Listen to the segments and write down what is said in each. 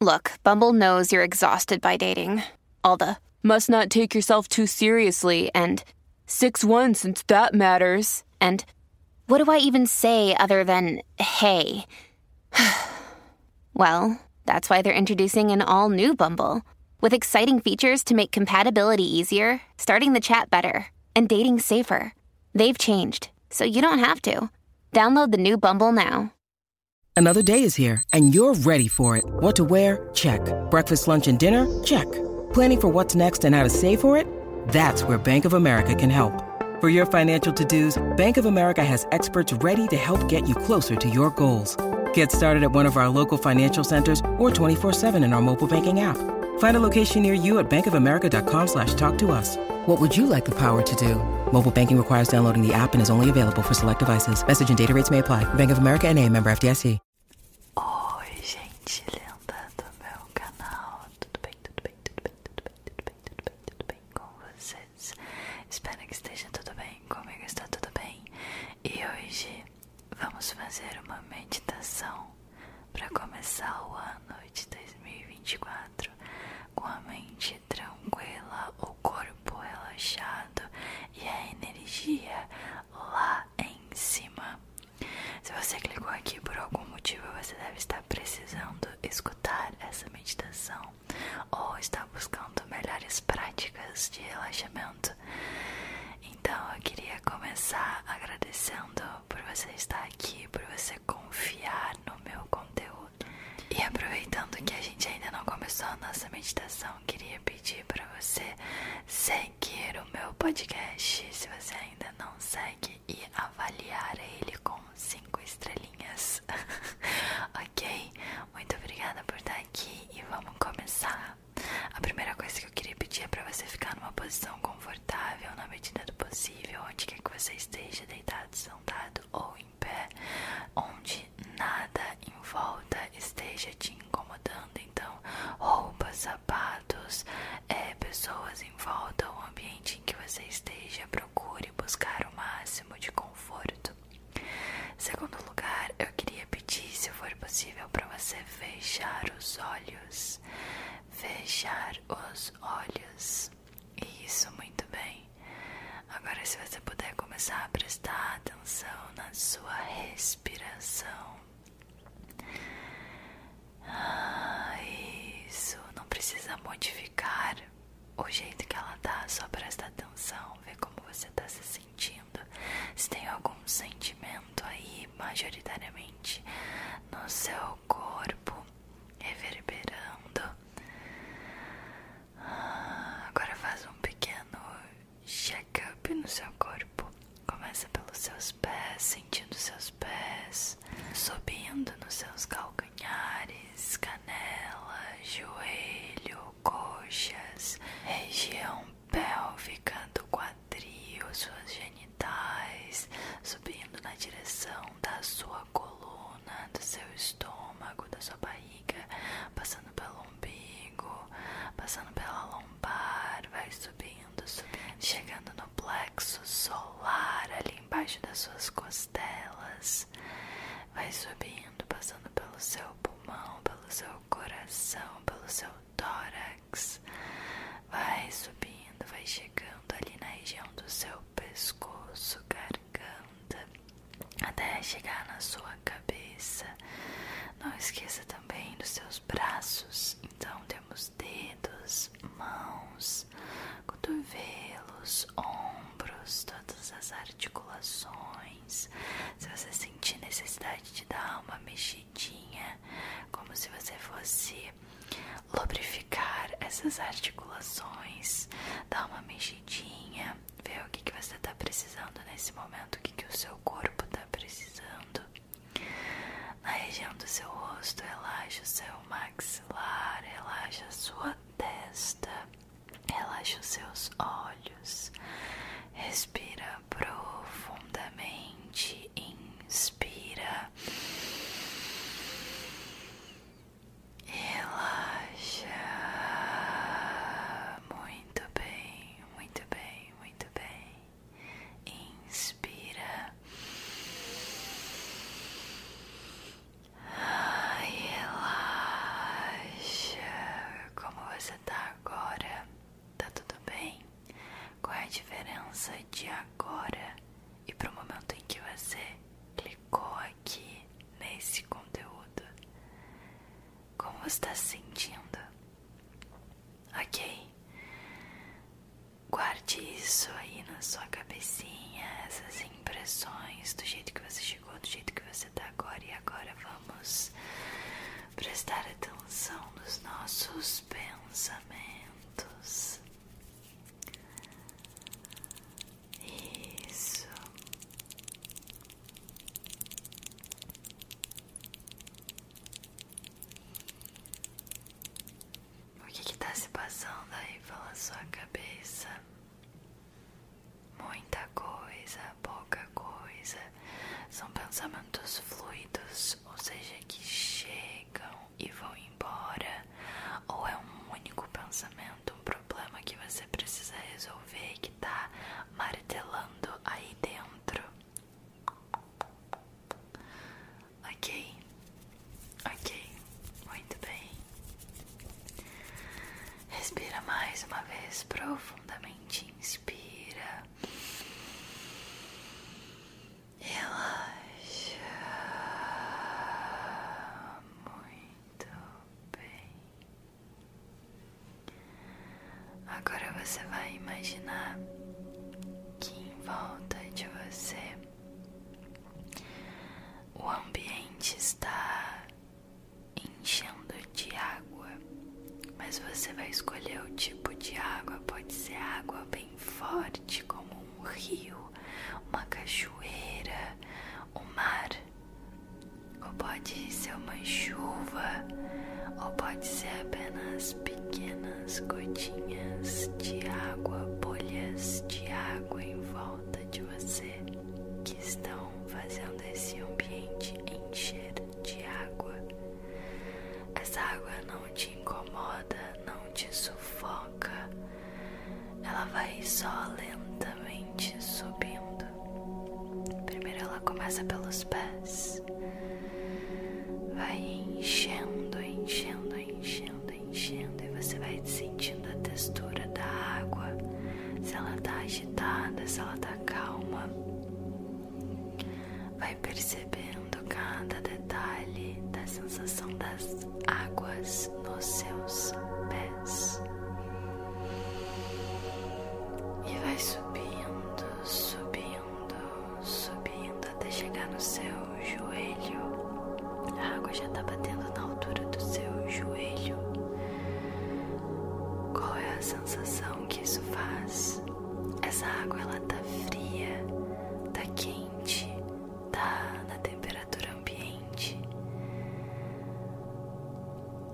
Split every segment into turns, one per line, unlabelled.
Look, Bumble knows you're exhausted by dating. All the must not take yourself too seriously and 6 1 since that matters. And what do I even say other than hey? well, that's why they're introducing an all new Bumble with exciting features to make compatibility easier, starting the chat better, and dating safer. They've changed, so you don't have to. Download the new Bumble now. Another day is here, and you're ready for it. What to wear? Check. Breakfast, lunch, and dinner? Check. Planning for what's next and how to save for it? That's where Bank of America can help. For your financial to-dos, Bank of America has experts ready to help get you closer to your goals. Get started at one of our local financial centers or 24-7 in our mobile banking app. Find a location near you at bankofamerica.com slash talk to us. What would you like the power to do? Mobile banking requires downloading the app and is only available for select devices. Message and data rates may apply. Bank of America NA, member FDIC. Oi, gente linda do meu canal. Tudo bem, tudo bem, tudo bem, tudo bem, tudo bem, tudo bem, tudo bem com vocês? Espero que esteja tudo bem. Comigo está tudo bem. E hoje vamos fazer uma meditação para começar o ano de 2024 com a mente tranquila, o corpo relaxado e a energia lá em cima. Se você clicou aqui por algum motivo, você deve estar precisando escutar essa meditação ou está buscando melhores práticas de relaxamento. Então eu queria começar agradecendo por você estar aqui, por você confiar no meu conteúdo. E aproveitando que a gente ainda não começou a nossa meditação, queria pedir para você seguir o meu podcast, se você ainda não segue, e avaliar ele com cinco estrelinhas. ok? Muito obrigada por estar aqui e vamos começar. A primeira coisa que eu queria pedir é para você ficar numa posição confortável na medida do possível, onde quer que você esteja, deitado, sentado ou em pé, onde nada em volta esteja te incomodando. Então, roupas, sapatos, é, pessoas em volta, o ambiente em que você esteja, procure buscar o máximo de conforto. Segundo lugar, eu queria pedir, se for possível, para você fechar os olhos. Fechar os olhos. Isso, muito bem. Agora, se você puder começar a prestar atenção na sua respiração. Ah, isso, não precisa modificar o jeito que ela tá, só presta atenção, ver como você tá se sentindo. Se tem algum sentimento aí, majoritariamente, no seu corpo, reverberando. Ah, agora faz um pequeno check-up no seu corpo. Começa pelos seus pés, sentindo seus pés, subindo nos seus calcanhares, canela, joelho, coxas, região pélvica do quadril quadril, suas genitais, subindo na direção da sua coluna, do seu estômago, da sua barriga, passando pelo umbigo, passando pela lombar, vai subindo, chegando no plexo solar, ali embaixo das suas costelas, vai subindo, passando pelo seu pulmão, pelo seu coração, pelo seu tórax. Vai subindo, vai chegando ali na região do seu pescoço, garganta, até chegar na sua cabeça. Não esqueça também dos seus braços. Então temos dedos, mãos, cotovelos, ombros, todas as articulações. Se você sentir necessidade de dar uma mexida mexidinha, como se você fosse lubrificar essas articulações, dar uma mexidinha, ver o que, que você está precisando nesse momento, o que, que o seu corpo está precisando. Na região do seu rosto, relaxa o seu maxilar, relaxa a sua testa, relaxa os seus olhos, respira profundamente inspira, relaxa. Muito bem, muito bem, muito bem. Inspira. Ai, relaxa. Como você tá agora? Tá tudo bem? Qual é a diferença de agora e para o momento em que você clicou aqui nesse conteúdo? Como você está se sentindo? Ok? Guarde isso aí na sua cabecinha, essas impressões do jeito que você chegou, do jeito que você tá agora. E agora vamos prestar atenção nos nossos pensamentos. Isso. O que está se passando aí pela sua cabeça? Muita coisa, pouca coisa. São pensamentos fluidos, ou seja, que chegam e vão embora, ou é um único pensamento, um problema que você precisa resolver que tá martelando aí dentro. Ok, ok, muito bem. Respira mais uma vez profundamente, inspira Relaxa muito bem. Agora você vai imaginar que em volta de você o ambiente está enchendo de água, mas você vai escolher o tipo de água. Pode ser água bem forte, como um rio, uma cachoeira, o mar, ou pode ser uma chuva, ou pode ser apenas pequenas gotinhas de água, bolhas de água em volta de você que estão fazendo esse ambiente encher de água. Essa água não te incomoda, não te sufoca, ela vai só lentamente subindo. Primeiro ela começa pelos pés, vai enchendo, enchendo, enchendo, enchendo, e você vai sentindo a textura da água, se ela tá agitada, se ela tá calma. Vai percebendo cada detalhe da sensação das águas nos seus pés e vai subindo, subindo, subindo até chegar no seu joelho. A água já está batendo na altura do seu joelho. Qual é a sensação? que isso faz? Essa água ela tá fria, tá quente, tá na temperatura ambiente.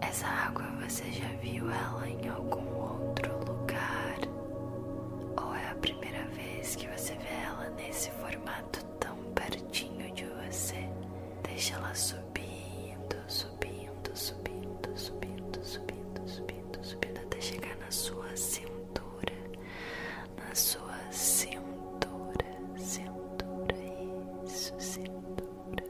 Essa água você já viu ela em algum outro lugar? Ou é a primeira vez que você vê ela nesse formato tão pertinho de você? Deixa ela subir subindo, subindo, subindo, subindo, subindo, subindo, subindo até chegar na sua cintura, na sua cintura, cintura, isso, cintura.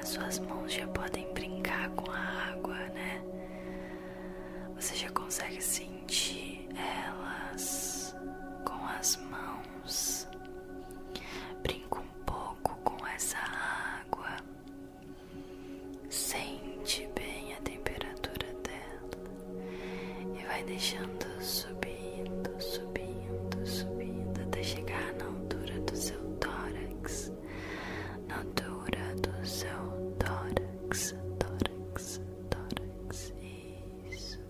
As suas mãos já podem brincar com a água, né? Você já consegue sentir elas com as mãos. Brinco um pouco com essa água. Sente bem a temperatura dela e vai deixando subindo, subindo, subindo até chegar na altura do seu tórax, na altura do seu tórax, tórax, tórax. Isso.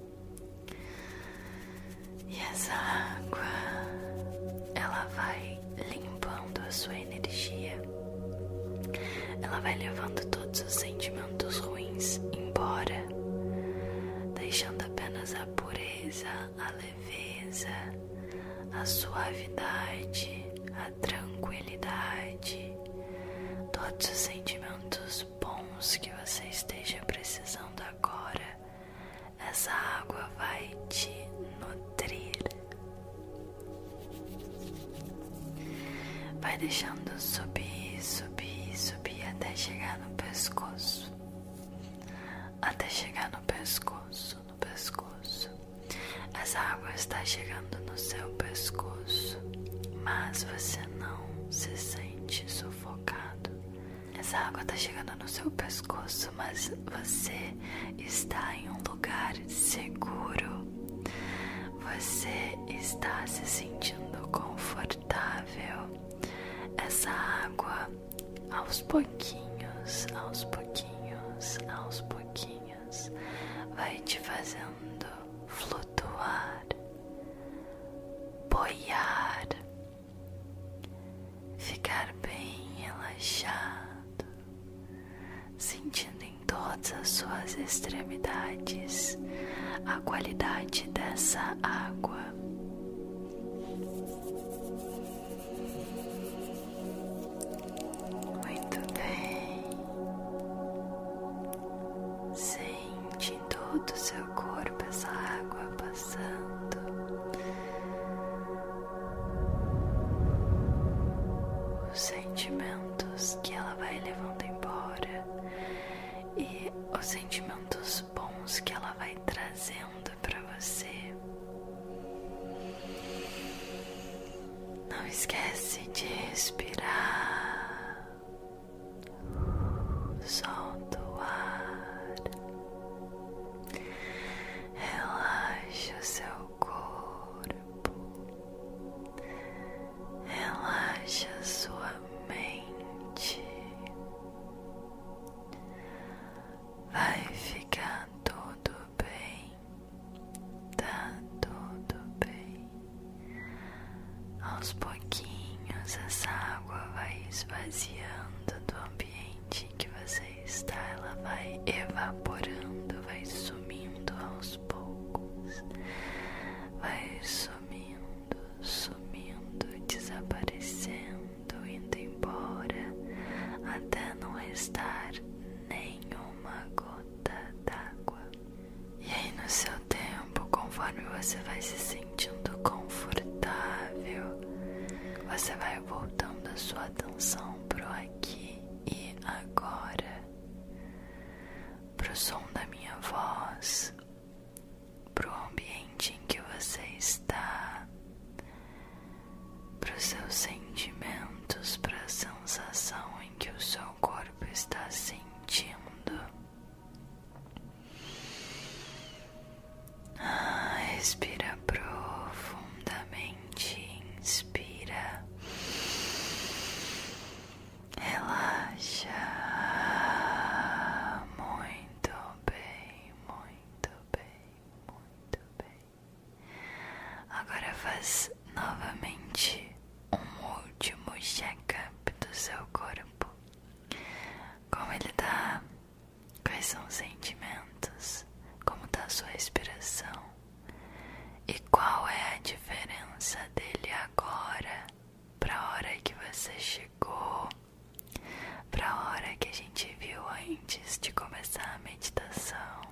E essa água ela vai limpando a sua energia, ela vai levando todos os sentimentos ruins embora, deixando apenas a pureza, a leveza, a suavidade, a tranquilidade, todos os sentimentos bons que você esteja precisando agora essa água vai te nutrir, vai deixando subir, subir, subir até chegar no pescoço, até chegar no pescoço, no pescoço. Essa água está chegando no seu pescoço, mas você não se sente sufocado. Essa água está chegando no seu pescoço, mas você está em um lugar seguro. Você está se sentindo confortável. Essa água, aos pouquinhos, aos pouquinhos, aos pouquinhos, vai te fazendo flutuar flutuar, boiar, ficar bem relaxado, sentindo em todas as suas extremidades a qualidade dessa água. Muito bem. Sim sente todo o seu corpo essa água passando. Os sentimentos que ela vai levando embora e os sentimentos bons que ela vai trazendo para você. Não esquece de respirar solta o ar, relaxa seu corpo, relaxa sua mente, vai ficar tudo bem, tá tudo bem. Aos pouquinhos, essa água vai esvaziando do ambiente em que você está, ela vai evaporando, vai sumindo aos poucos, vai sumindo, sumindo, desaparecendo, indo embora, até não restar nenhuma gota d'água. E aí, no seu tempo, conforme você vai se sentindo confortável, você vai voltando a sua atenção pro aqui e agora, pro som da minha voz, pro ambiente em que você está, pros seus sentimentos, para a sensação em que o seu corpo está sentindo. Ah, respira profundamente, inspira, relaxa muito bem, muito bem, muito bem. Agora faz novamente um último check-up do seu corpo. Como ele está? Quais são os sentimentos? Como está a sua respiração? E qual é a diferença dele agora para a hora que você chegou? Para a hora que a gente viu antes de começar a meditação?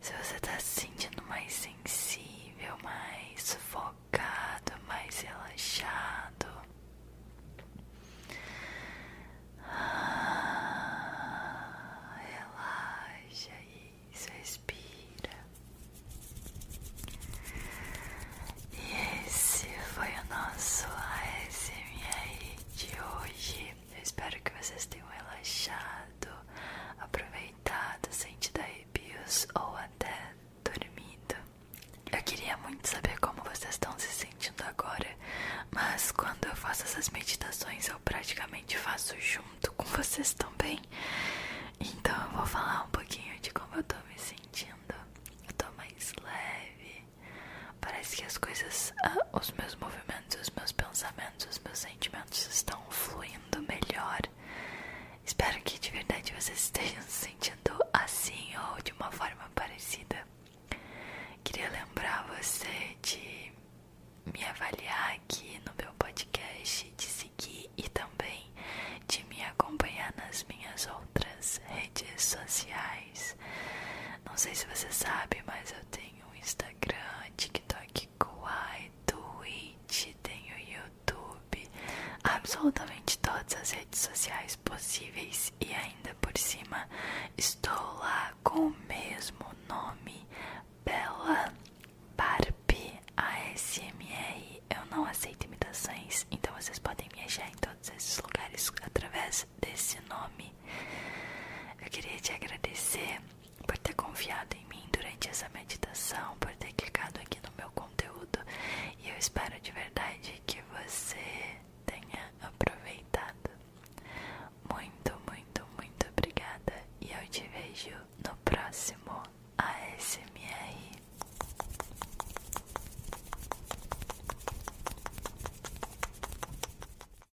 Se você tá se sentindo mais sensível, mais sufocado, mais relaxado. Ah, relaxa aí, respira. E esse foi o nosso ASMR de hoje. espero que vocês tenham relaxado. Aproveite deitado, sentindo arrepios ou até dormindo. Eu queria muito saber como vocês estão se sentindo agora, mas quando eu faço essas meditações eu praticamente faço junto com vocês também. Então eu vou falar um pouquinho de como eu tô me sentindo. Eu tô mais leve. Parece que as coisas, ah, os meus movimentos, os meus pensamentos, os meus sentimentos estão fluindo melhor. Espero que de verdade você esteja se sentindo assim ou de uma forma parecida. Queria lembrar você de me avaliar aqui no meu podcast, de seguir e também de me acompanhar nas minhas outras redes sociais. Não sei se você sabe, mas eu tenho Instagram, TikTok, Kawaii, Twitch, tem o YouTube, absolutamente todas as redes sociais possíveis e ainda por cima estou lá com o mesmo nome, Bela Barbie ASMR. Eu não aceito imitações, então vocês podem me achar em todos esses lugares através desse nome. Eu queria te agradecer por ter confiado em mim durante essa meditação, por ter clicado aqui no meu conteúdo. E eu espero de verdade que você tenha aproveitado. Muito, muito, muito obrigada e eu te vejo no próximo ASMR.